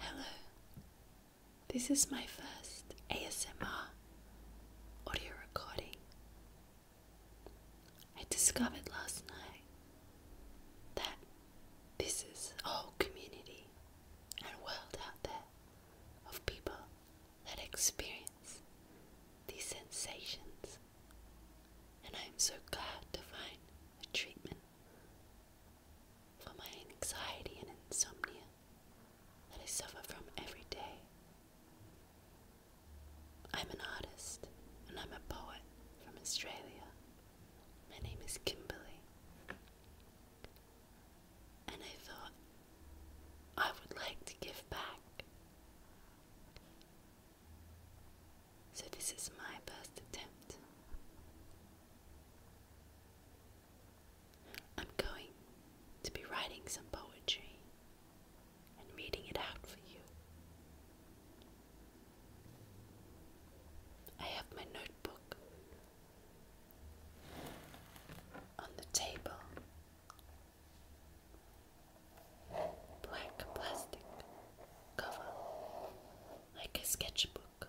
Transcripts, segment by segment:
Hello, this is my first ASMR audio recording. I discovered last night that this is a whole community and world out there of people that experience these sensations, and I am so glad to find a treatment for my anxiety and insomnia that I suffer from every day. I'm an artist and I'm a poet from Australia. My name is Kimberly and I thought I would like to give back. So, this is my best attempt. I'm going to be writing some poetry and reading it out for you. I have my notebook on the table. Black plastic cover, like a sketchbook.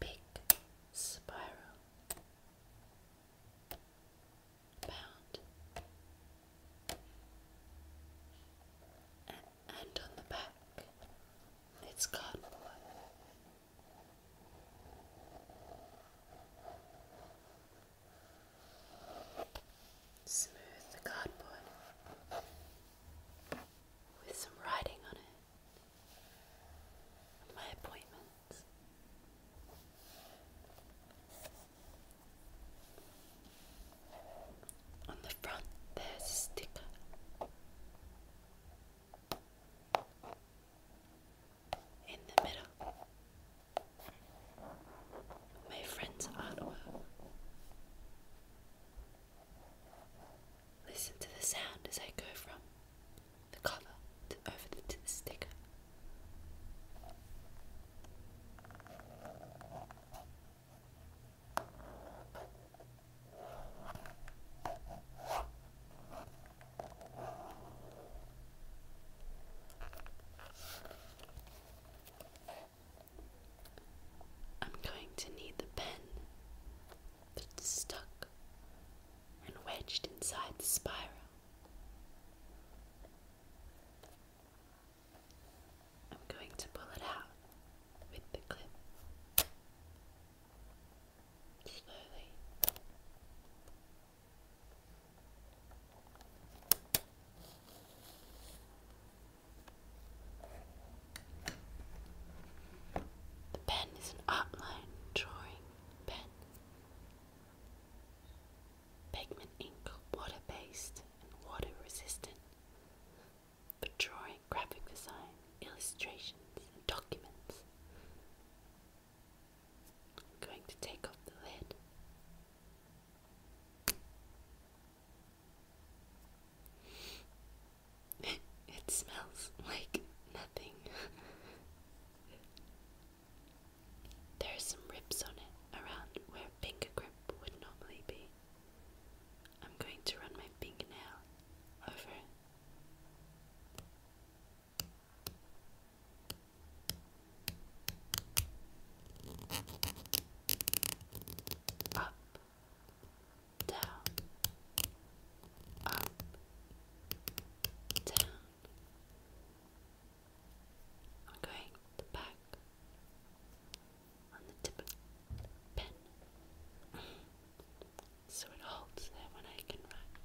Big spiral bound and on the back it's cardboard. Smooth cardboard with some writing on it. My appointments. On the front, there's a sticker. In the middle, my friend's artwork. Listen to the sound as I go from the cover to over the, sticker. I'm going to need the pen that's stuck and wedged inside the spiral. I'm going to pull it out with the clip slowly. The pen is an outline drawing pen pigment ink, water based and water resistant, for drawing, graphic design, illustrations, and documents. I'm going to take off the lid. it smells like nothing. there are some rips on it around where finger grip would normally be. I'm going to run my fingernail over it. Up, down, up, down, I'm going the back on the tip of the pen so it holds there when I can write.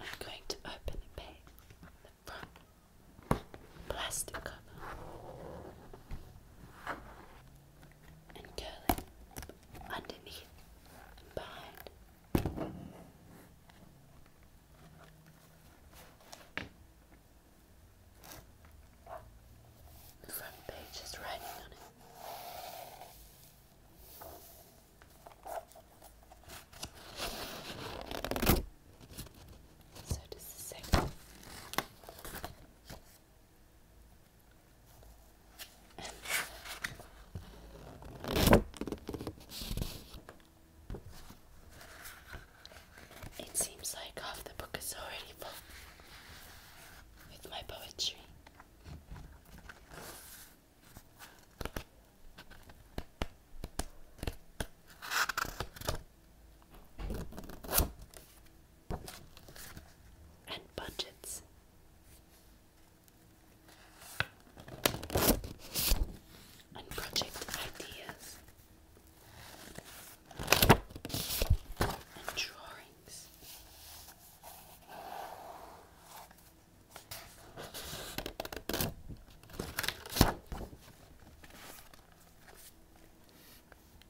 I'm going to open a bag the front plastic cover and curl it underneath behind the front page is writing on it. So does the second. It seems like half the book is already full with my poetry. And budgets and project ideas and drawings.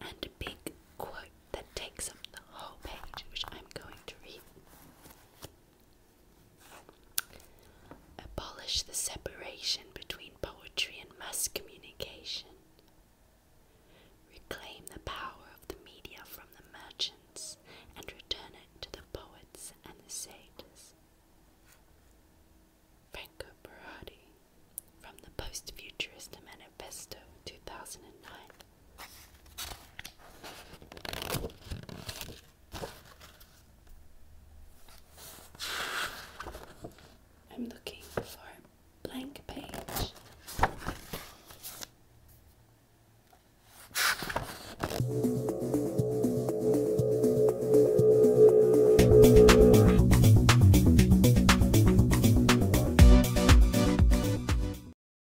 And a big quote that takes up the whole page, which I'm going to read. Abolish the separation between poetry and mass communication. Reclaim the power of the media from the merchants and return it to the poets and the sages. Franco Berardi from the Post Futurist Manifesto 2009. I'm looking for a blank page.